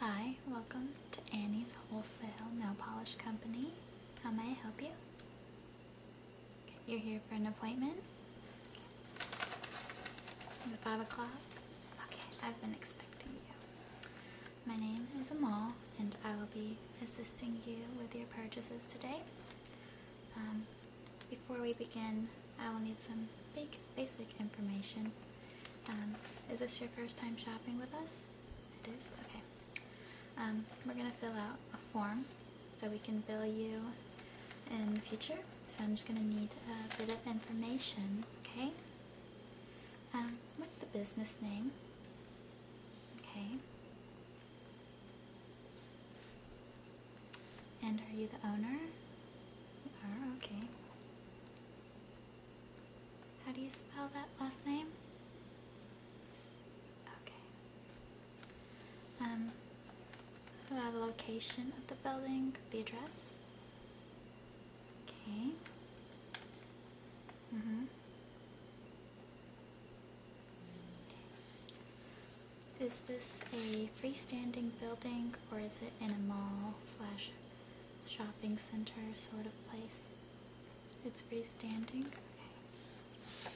Hi, welcome to Annie's Wholesale Nail Polish Company. How may I help you? you're here for an appointment? At 5 o'clock? Okay, I've been expecting you. My name is Amal, and I will be assisting you with your purchases today. Um, before we begin, I will need some basic information um, is this your first time shopping with us? It is? Okay. Um, we're going to fill out a form so we can bill you in the future. So I'm just going to need a bit of information, okay? Um, what's the business name? Okay. And are you the owner? okay. How do you spell that last name? Okay. Um, the location of the building, the address. Okay. hmm Is this a freestanding building or is it in a mall slash shopping center sort of place. It's freestanding. Okay.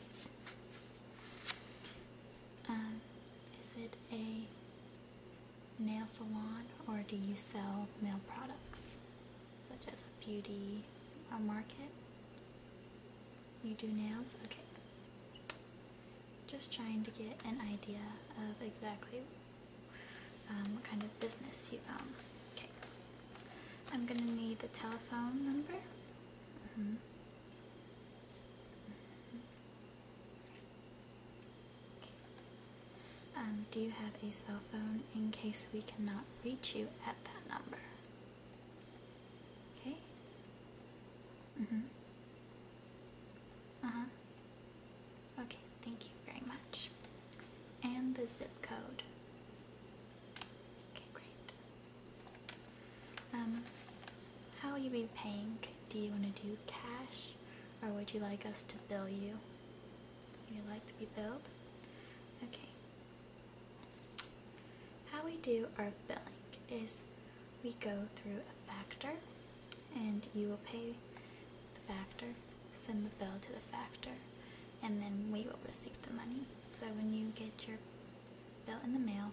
Um, is it a nail salon or do you sell nail products such as a beauty a market? You do nails? Okay. Just trying to get an idea of exactly um, what kind of business you um, Okay. I'm gonna need the telephone number. Mm-hmm. Um, do you have a cell phone in case we cannot reach you at that number? Okay. Mm-hmm. Uh-huh. Okay, thank you very much. And the zip code. Okay, great. Um, how will you be paying? Do you want to do cash, or would you like us to bill you? You like to be billed? Okay. How we do our billing is we go through a factor and you will pay the factor, send the bill to the factor, and then we will receive the money. So when you get your bill in the mail,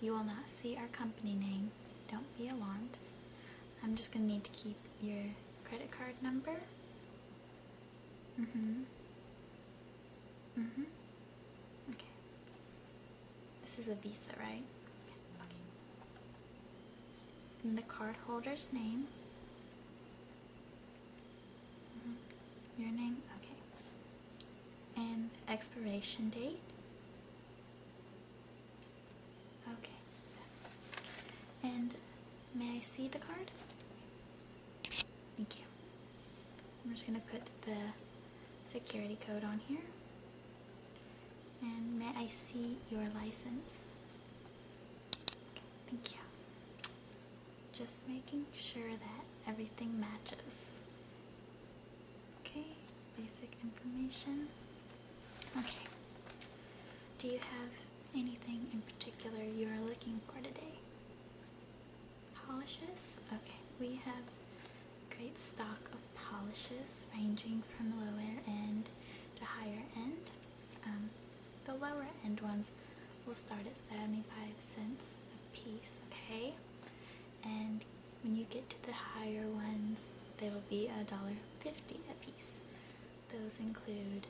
you will not see our company name. Don't be alarmed. I'm just going to need to keep your credit card number. hmm hmm Okay. This is a Visa, right? Okay in the card holder's name. Mm-hmm. Your name? Okay. And expiration date. Okay. And may I see the card? Thank you. I'm just going to put the security code on here. And may I see your license? Thank you. Just making sure that everything matches. Okay, basic information. Okay. Do you have anything in particular you are looking for today? Polishes? Okay, we have great stock of polishes ranging from lower end to higher end. Um, the lower end ones will start at 75 cents a piece, okay? And when you get to the higher ones, they will be a dollar fifty a piece. Those include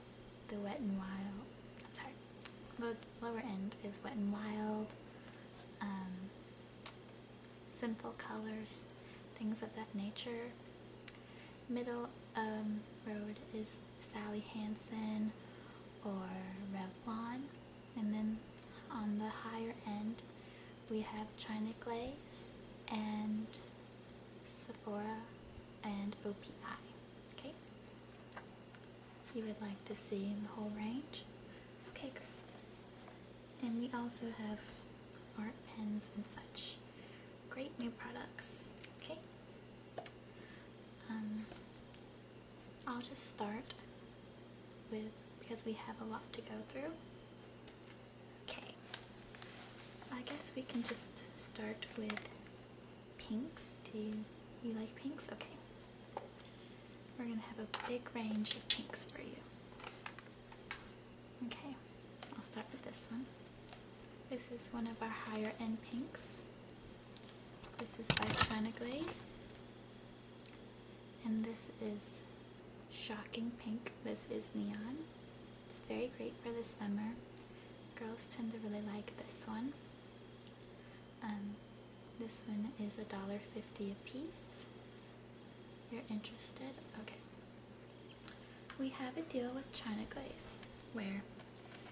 the Wet and Wild. sorry. The lower end is Wet and Wild, um, Simple Colors, things of that nature middle um, road is Sally Hansen or Revlon. And then on the higher end, we have China Glaze and Sephora and OPI. Okay? You would like to see the whole range? Okay, great. And we also have art pens and such great new products. Okay. Um, I'll just start with because we have a lot to go through. Okay. I guess we can just start with pinks. Do you, you like pinks? Okay. We're gonna have a big range of pinks for you. Okay, I'll start with this one. This is one of our higher end pinks. This is by China Glaze. And this is shocking pink. This is neon. It's very great for the summer. Girls tend to really like this one. Um, this one is $1.50 a piece. You're interested? Okay we have a deal with China Glaze where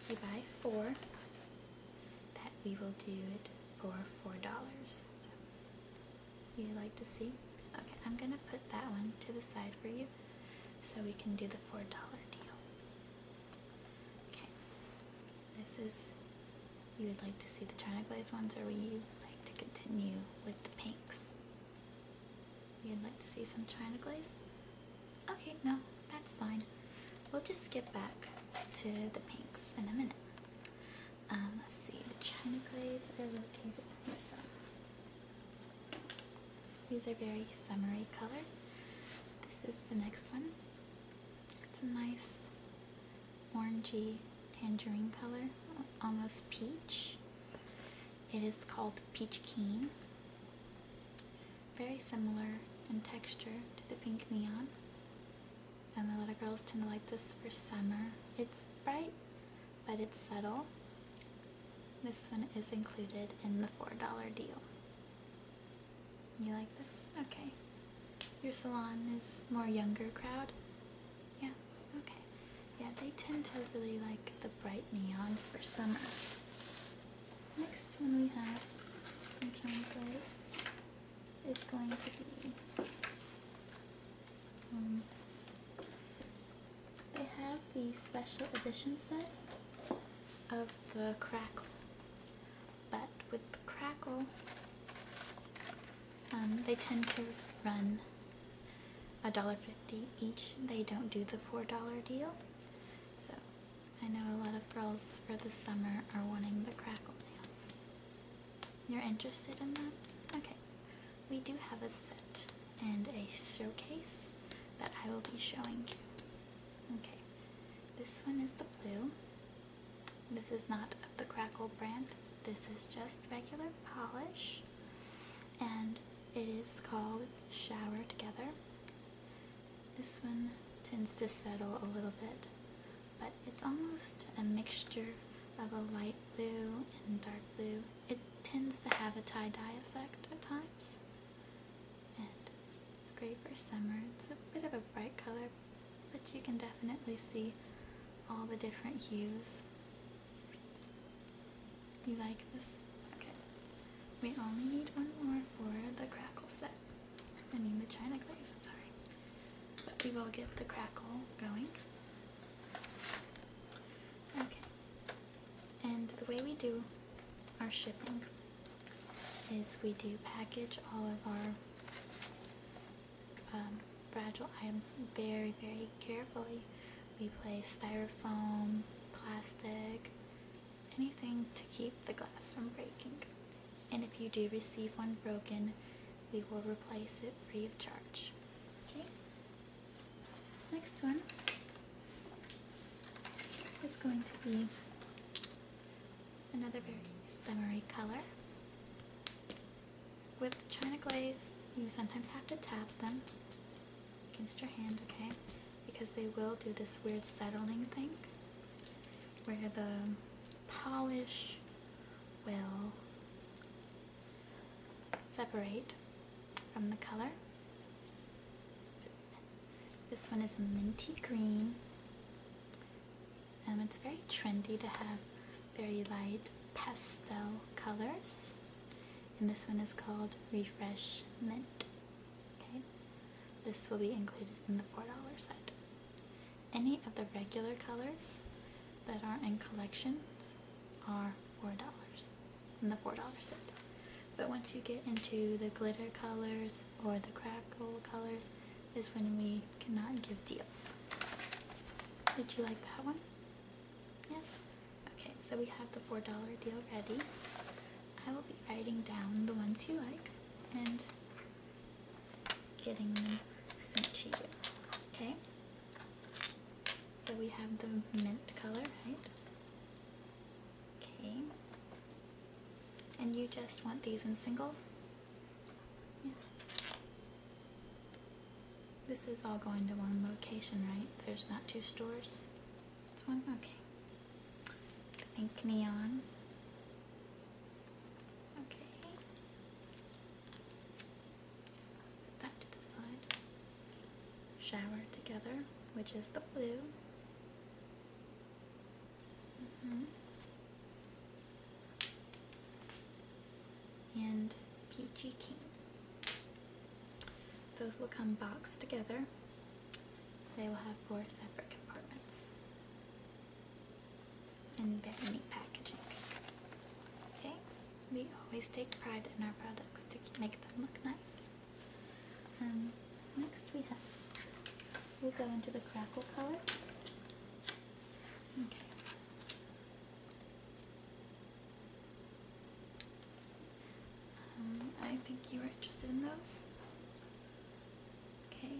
you buy four that we will do it for four dollars. So you would like to see? Okay, I'm gonna put that one to the side for you so we can do the four dollar deal. Okay. This is you would like to see the China Glaze ones or would you like to continue with the pinks? You'd like to see some china glaze? Okay, no, that's fine. We'll just skip back to the pinks in a minute. Um, let's see, the china glaze are located here some. These are very summery colors. This is the next one. It's a nice orangey tangerine color, almost peach. It is called peach keen. Very similar in texture to the pink neon. And a lot of girls tend to like this for summer. It's bright, but it's subtle. This one is included in the $4 deal. You like this? Okay. Your salon is more younger crowd? Yeah? Okay. Yeah, they tend to really like the bright neons for summer. Next one we have from John Place is going to be. Um, they have the special edition set of the Crackle. But with the Crackle, um, they tend to run $1.50 each. They don't do the $4 deal. So I know a lot of girls for the summer are wanting the crackle nails. You're interested in them? Okay. We do have a set and a showcase that I will be showing you. Okay. This one is the blue. This is not of the Crackle brand. This is just regular polish and it is called Shower Together. This one tends to settle a little bit, but it's almost a mixture of a light blue and dark blue. It tends to have a tie-dye effect at times, and great for summer. It's a bit of a bright color, but you can definitely see all the different hues you like this? Okay. We only need one more for the crackle set. I mean the china glaze, I'm sorry. But we will get the crackle going. Okay. And the way we do our shipping is we do package all of our um, fragile items very, very carefully we place styrofoam, plastic, anything to keep the glass from breaking. And if you do receive one broken, we will replace it free of charge. Okay. Next one is going to be another very summery color. With china glaze, you sometimes have to tap them against your hand, okay? Because they will do this weird settling thing where the polish will separate from the color. This one is a minty green. Um, it's very trendy to have very light pastel colors. And this one is called Refresh Mint. Okay. This will be included in the $4 set. Any of the regular colors that are in collections are $4 in the $4 set. But once you get into the glitter colors or the crackle colors is when we cannot give deals. Did you like that one? Yes? Okay, so we have the $4 deal ready. I will be writing down the ones you like and getting them sent to you. Okay? So we have the mint color, right? Okay. And you just want these in singles? Yeah. This is all going to one location, right? There's not two stores? Pink neon. Okay. Put that to the side. Shower together, which is the blue. Mm-hmm. And peachy king. Those will come boxed together. They will have four separate compartments and very neat packaging. Okay, we always take pride in our products to make them look nice. Um, next we have, we'll go into the crackle colors. Okay. Um, I think you are interested in those. Okay.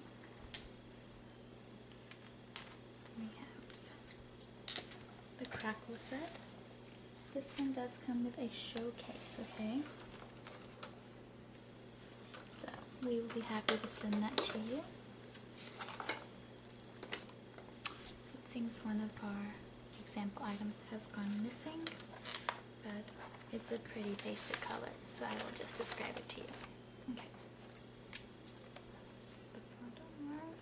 We have the crackle set. This one does come with a showcase, okay? So we will be happy to send that to you. It seems one of our example items has gone missing but it's a pretty basic color, so I will just describe it to you. Okay. the photo mark.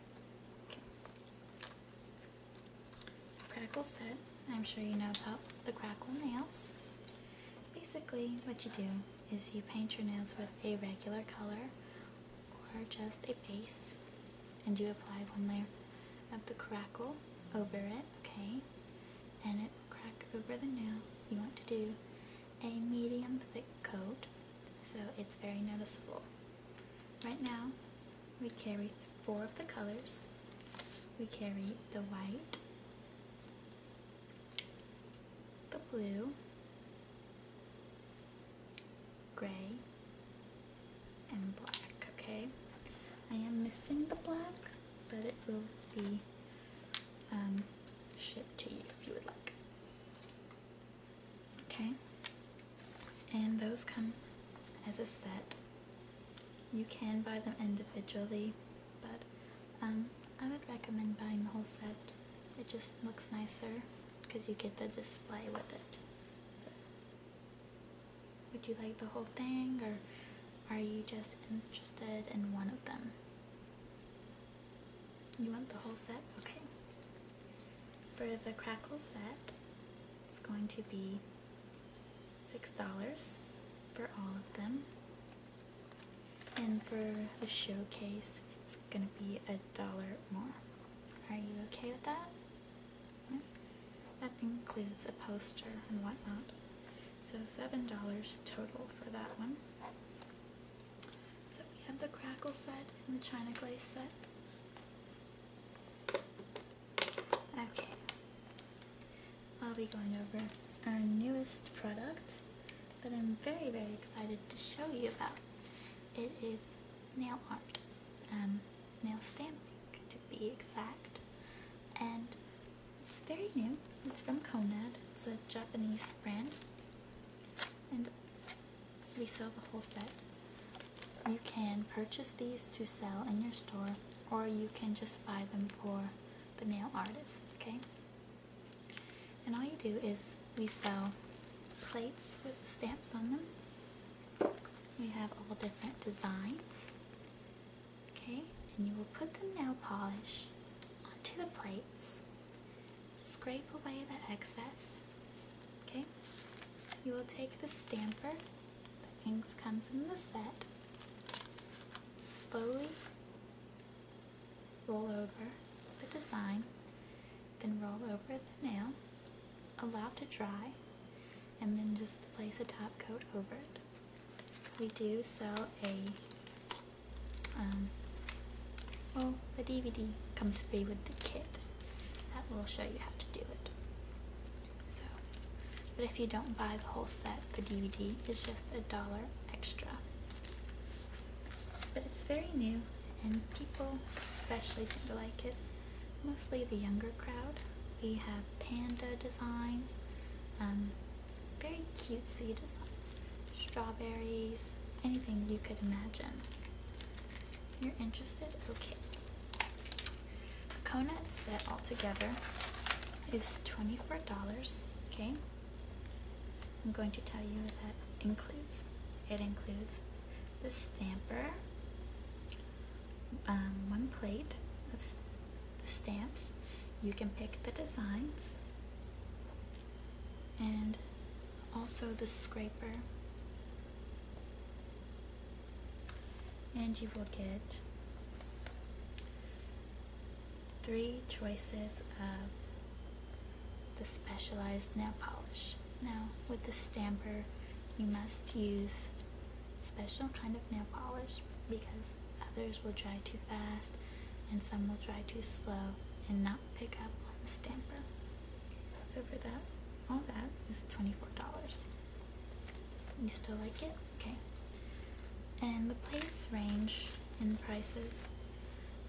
Crackle set. I'm sure you know about the crackle nails. Basically, what you do is you paint your nails with a regular color or just a base, and you apply one layer of the crackle over it, okay? And it will crack over the nail. You want to do a medium thick coat so it's very noticeable. Right now, we carry four of the colors. We carry the white, the blue, gray, and black, okay? I am missing the black, but it will be um, shipped to you if you would like. Okay? And those come as a set. You can buy them individually, but um, I would recommend buying the whole set. It just looks nicer because you get the display with it. Would you like the whole thing or are you just interested in one of them? You want the whole set? Okay. For the crackle set, it's going to be $6 for all of them. And for the showcase, it's going to be a dollar more. Are you okay with that? That includes a poster and whatnot. So $7 total for that one. So we have the crackle set and the china glaze set. Okay. I'll be going over our newest product that I'm very, very excited to show you about. It is nail art. Um, nail stamping to be exact. And it's very new. It's from Konad. It's a Japanese brand. And we sell the whole set. You can purchase these to sell in your store or you can just buy them for the nail artist, okay? And all you do is we sell plates with stamps on them. We have all different designs. Okay, and you will put the nail polish onto the plates, scrape away the excess. Okay, you will take the stamper, the ink comes in the set, slowly roll over the design, then roll over the nail, allow to dry, and then just place a top coat over it. We do sell a, um, well, the DVD comes free with the kit that will show you how to do it. So, but if you don't buy the whole set, the DVD is just a dollar extra. But it's very new, and people especially seem to like it mostly the younger crowd. We have panda designs, um, very cutesy designs, strawberries, anything you could imagine. You're interested? Okay. The Conut set altogether is $24, okay? I'm going to tell you that includes. It includes the stamper, um, one plate of the stamps. You can pick the designs and also the scraper. And you will get three choices of the specialized nail polish. Now, with the stamper, you must use special kind of nail polish because others will dry too fast and some will dry too slow and not pick up on the stamper. So for that, all that is $24. You still like it? Okay. And the plates range in prices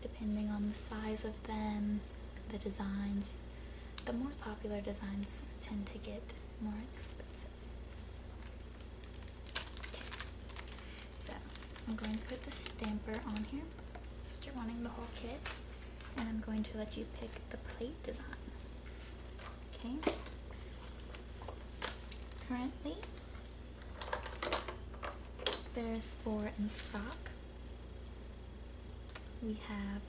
depending on the size of them, the designs. The more popular designs tend to get more expensive. So I'm going to put the stamper on here since you're wanting the whole kit. And I'm going to let you pick the plate design. Okay. Currently, there's four in stock. We have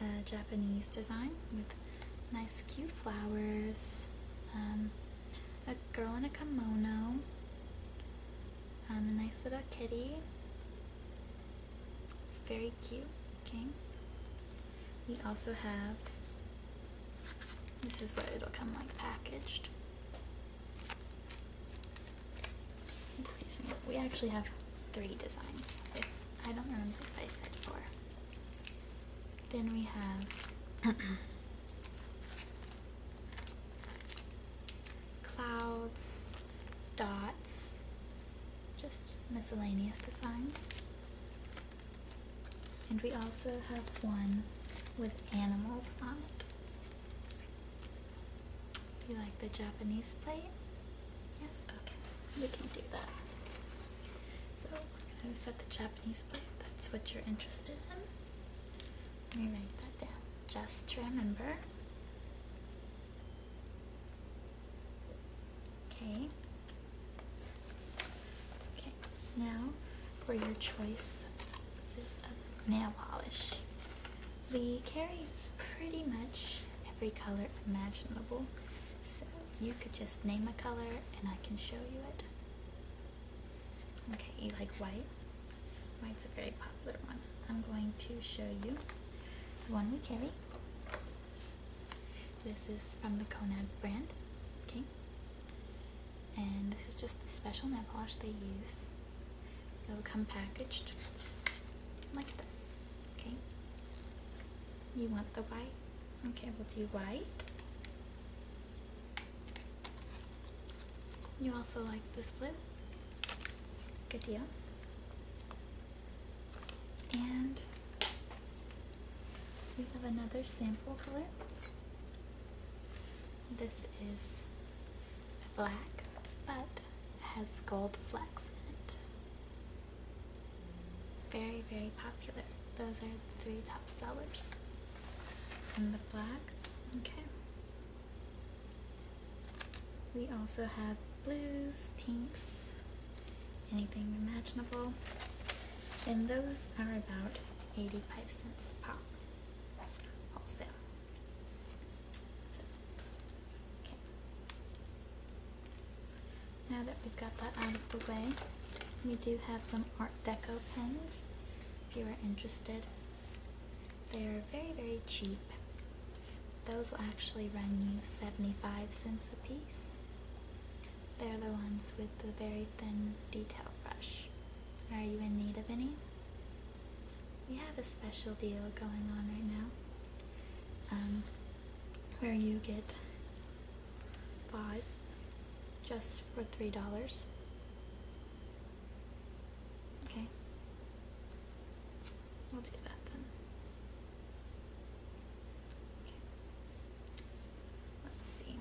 uh, Japanese design with nice cute flowers, um, a girl in a kimono, um, a nice little kitty. It's very cute. Okay. We also have, this is what it'll come like packaged. we actually have three designs. I don't remember if I said four. Then we have clouds, dots, just miscellaneous designs. And we also have one with animals on it. You like the Japanese plate? Yes? Okay. We can do that. So we're going to set the Japanese plate. That's what you're interested in. Let me write that down just to remember. Okay. Okay. Now for your choice this is a nail polish. We carry pretty much every color imaginable so you could just name a color and I can show you it. Okay, you like white? White's a very popular one. I'm going to show you the one we carry. This is from the Konad brand. Okay. And this is just the special nail polish they use. It will come packaged like this. Okay. You want the white? Okay, we'll do white. You also like this blue? Good deal. And we have another sample color. This is black, but has gold flecks in it very very popular those are the three top sellers and the black okay we also have blues pinks anything imaginable and those are about 85 cents a pop wholesale okay. Now that we've got that out of the way, we do have some Art Deco pens if you are interested. They are very, very cheap. Those will actually run you 75 cents a piece. They're the ones with the very thin detail brush. Are you in need of any? We have a special deal going on right now. Um, where you get five just for three dollars. Okay, we'll do that then. let's see.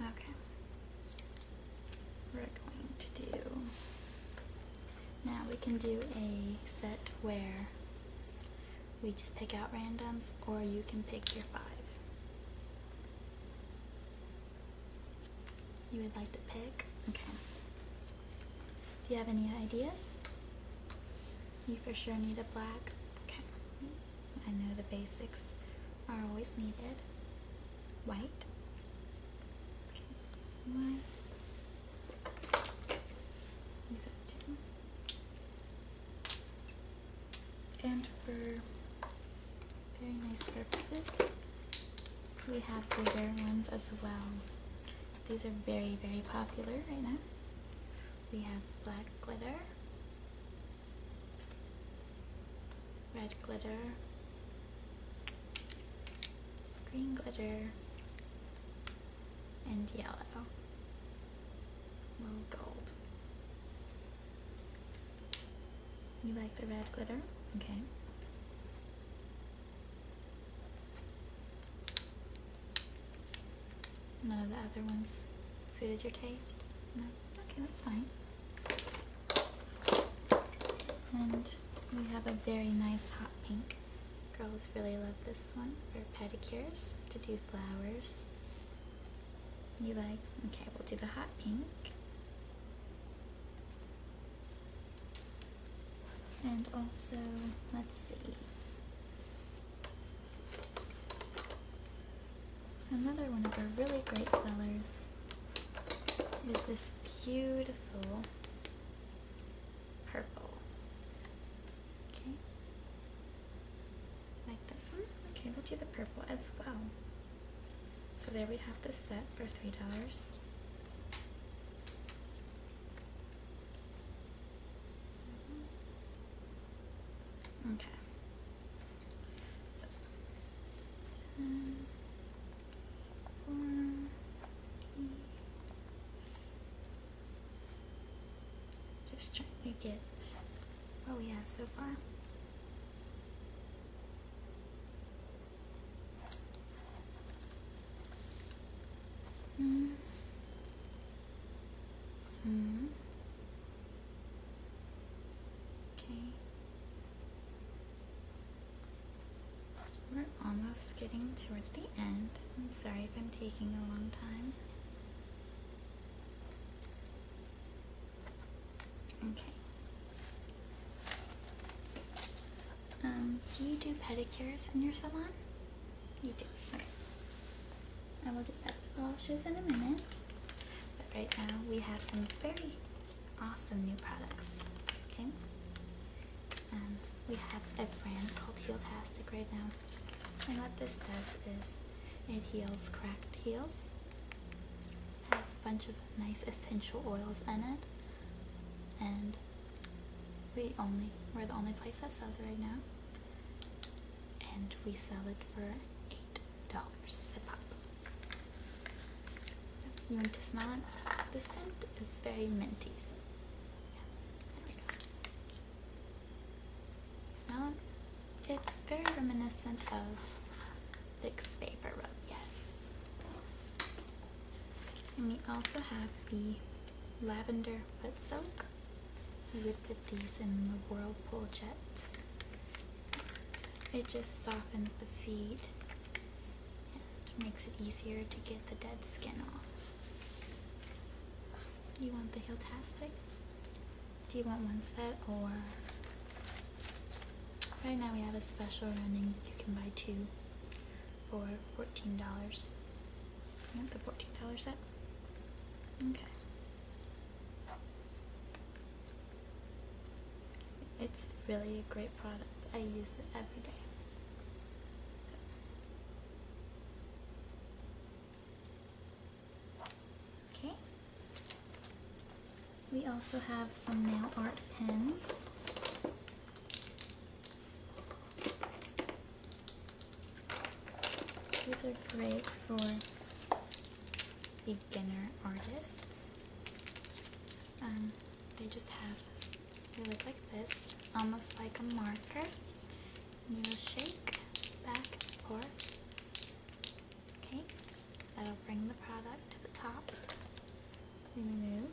Okay, we're going to do, now we can do a set where we just pick out randoms or you can pick your five. You would like to pick? Okay. Do you have any ideas? You for sure need a black. Okay. I know the basics are always needed. White. Okay. two. And for very nice purposes, we have bigger ones as well. These are very, very popular right now. We have black glitter, red glitter, green glitter, and yellow. Little gold. You like the red glitter? Okay. None of the other ones suited your taste? No? Okay, that's fine. And we have a very nice hot pink. Girls really love this one for pedicures, to do flowers. You like? Okay, we'll do the hot pink. And also, let's see. Another one of our really great sellers is this beautiful purple. Okay. Like this one? Okay, we'll do the purple as well. So there we have the set for $3. Mm-hmm. Okay. So, ten, Just trying to get what we have so far. Mm. Mm. Okay. We're almost getting towards the end. I'm sorry if I'm taking a long time. Okay. Um, do you do pedicures in your salon? You do. Okay. I will get back to polishes in a minute. But right now we have some very awesome new products. Okay, um, we have a brand called Tastic right now, and what this does is it heals cracked heels. Has a bunch of nice essential oils in it, and we only we're the only place that sells it right now, and we sell it for eight you want to smell it? The scent is very minty. So Smell it? It's very reminiscent of Vicks Vapor Rub, yes. And we also have the Lavender Foot Soak. We would put these in the Whirlpool Jets. It just softens the feet and makes it easier to get the dead skin off. You want the heel tastic? Do you want one set or? Right now we have a special running. You can buy two for $14. You want the $14 set? Okay. It's really a great product. I use it every day. Okay. We also have some nail art pens. These are great for beginner artists. Um, they just have, they look like this, almost like a marker. you will shake back and Okay, that'll bring the product to the top. Remove.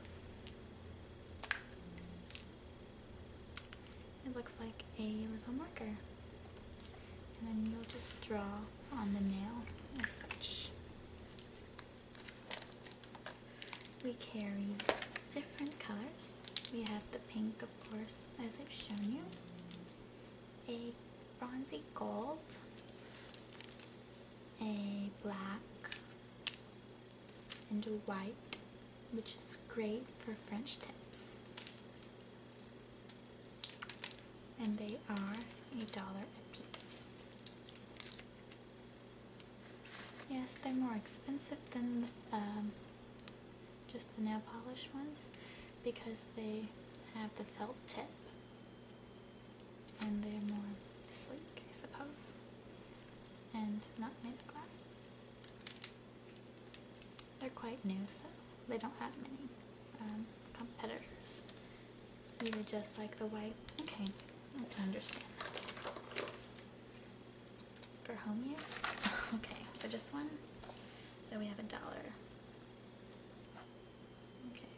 It looks like a little marker. And then you'll just draw on the nail as such. We carry different colors. We have the pink, of course, as I've shown you, a bronzy gold, a black, and a white, which is great for French tips and they are a dollar a piece. Yes, they're more expensive than um, just the nail polish ones because they have the felt tip and they're more sleek, I suppose, and not made of glass. They're quite new, so they don't have many um, competitors you would just like the white? Okay, I understand that. For home use? okay, so just one? So we have a dollar. Okay.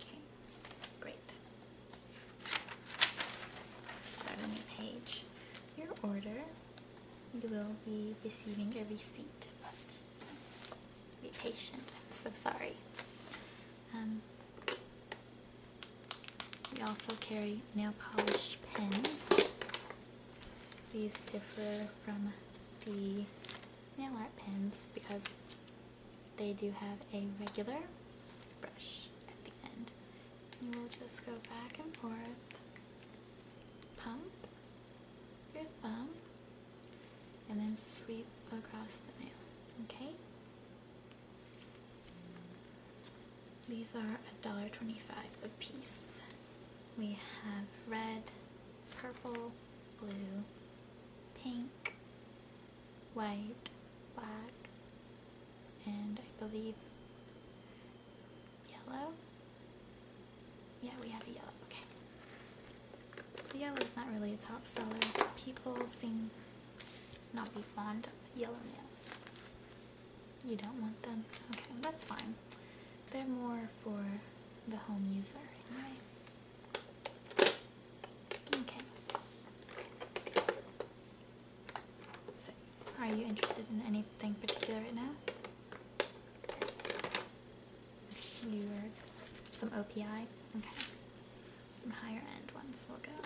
Okay, great. Start a new page your order. You will be receiving a receipt. Be patient. I'm so sorry. Um, we also carry nail polish pens. These differ from the nail art pens because they do have a regular brush at the end. You will just go back and forth, pump, your thumb and then sweep across the nail. Okay? These are $1.25 a piece. We have red, purple, blue, pink, white, black, and I believe yellow. Yeah, we have a yellow. Okay. The yellow is not really a top seller. People seem not be fond of yellow nails. You don't want them? Okay, that's fine. They're more for the home user Okay. So, are you interested in anything particular right now? Your, some OPI. Okay. Some higher end ones will go.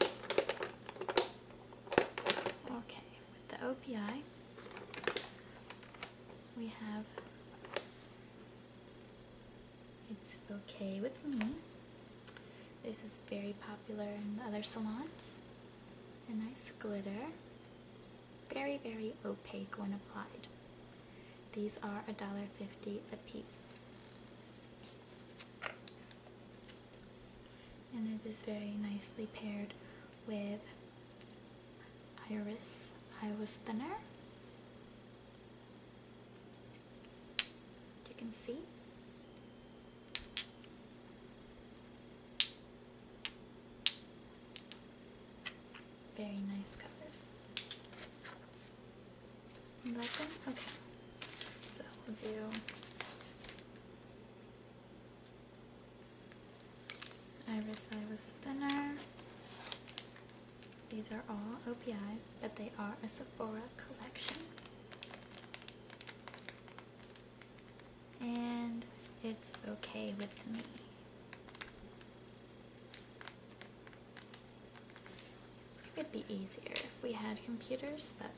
Okay, with the OPI, we have It's Okay With Me. This is very popular in the other salons. A nice glitter. Very, very opaque when applied. These are a $1.50 a piece. And it is very nicely paired with Iris Iris Thinner. You can see. Very nice colors. You like them? Okay. So we'll do iris iris thinner. These are all OPI, but they are a Sephora collection and it's okay with me. It would be easier if we had computers, but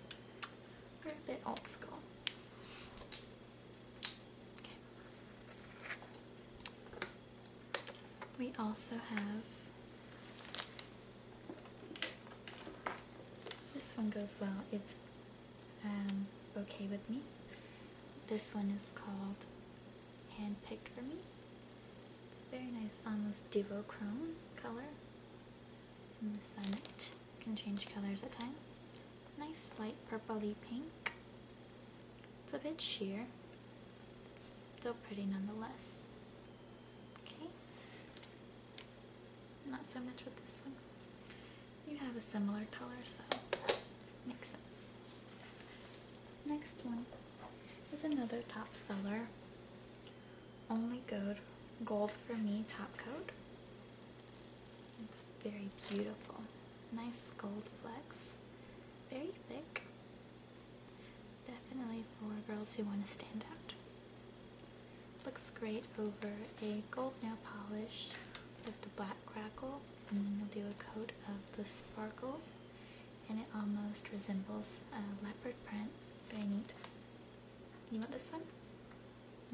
we're a bit old school. We also have this one goes well. It's um, okay with me. This one is called Handpicked for Me. It's very nice, almost duochrome color. And the it can change colors at times. Nice light purpley pink. It's a bit sheer. It's still pretty nonetheless. Okay. Not so much with this one you have a similar color, so makes sense. Next one is another top seller. Only gold, gold for me top coat. It's very beautiful. Nice gold flex. Very thick. Definitely for girls who want to stand out. Looks great over a gold nail polish with the black crackle and then we'll do a coat of the sparkles and it almost resembles a leopard print. Very neat. You want this one?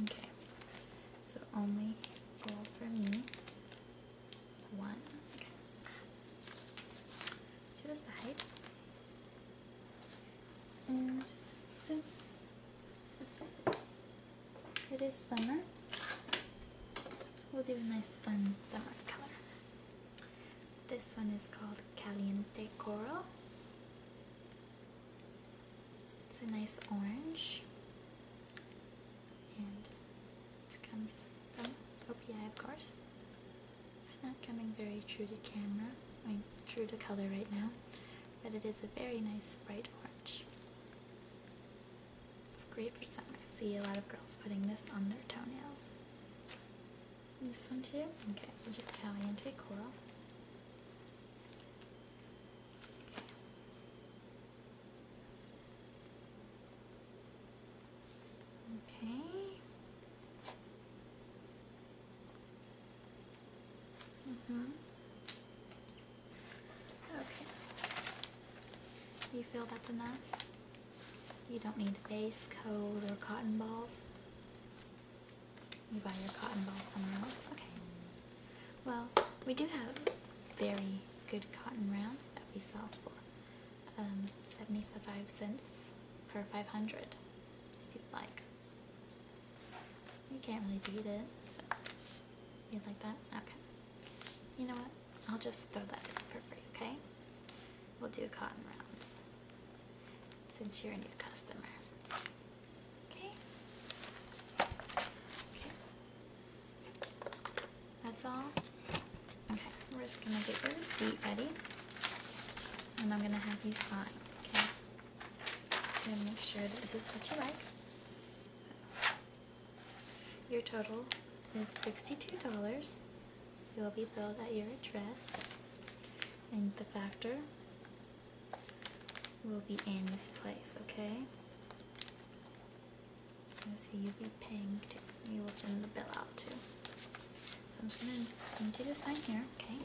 Okay. So only gold for me. One. To the side. And since it is summer. We'll do a nice fun summer color. This one is called Caliente Coral. It's a nice orange. And it comes from OPI, of course. It's not coming very true to camera, I mean, true to color right now, but it is a very nice bright orange. It's great for summer. I see a lot of girls putting this on their toenails. This one too? Okay, we'll just caliente coral. Okay. Okay. mm mm-hmm. Okay. You feel that's enough? You don't need base coat or cotton balls? You buy your cotton balls somewhere else? Okay. Well, we do have very good cotton rounds that we sell for um, 75 cents per 500 if you'd like. You can't really beat it. So. You like that? Okay. You know what? I'll just throw that in for free, okay? We'll do cotton rounds since you're a new customer. Okay? Okay. That's all? Okay, we're just gonna get your receipt ready. And I'm gonna have you sign, okay? To make sure that this is what you like. Your total is $62. You'll be billed at your address, and the factor will be in this place, okay? That's you'll be paying You will send the bill out to. So I'm just going to need you sign here, okay?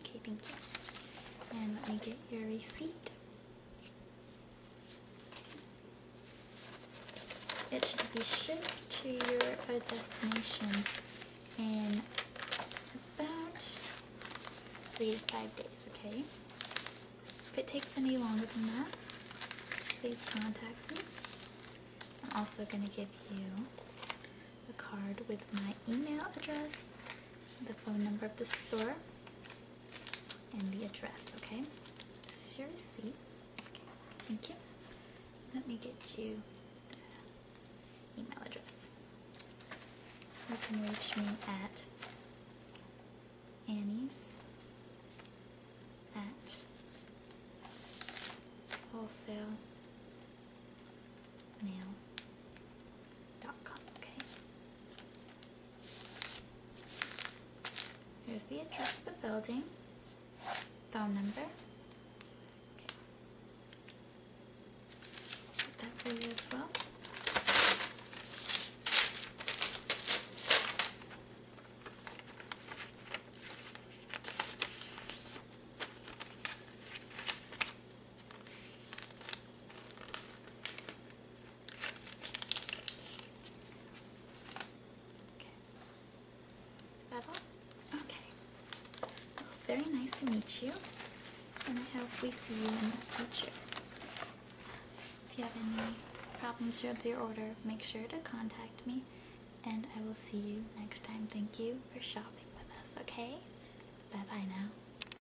Okay, thank you. And let me get your receipt. It should be shipped to your uh, destination in about three to five days, okay? If it takes any longer than that, please contact me. I'm also going to give you a card with my email address the phone number of the store, and the address, okay? This is your receipt. thank you. Let me get you the email address. You can reach me at Annie's at wholesale nail gmail.com, okay? Here's the address of the building, phone number. Put that for you as well. Is that all? Okay. it's very nice to meet you, and I hope we see you in the future. If you have any problems with your order, make sure to contact me, and I will see you next time. Thank you for shopping with us, okay? Bye-bye now.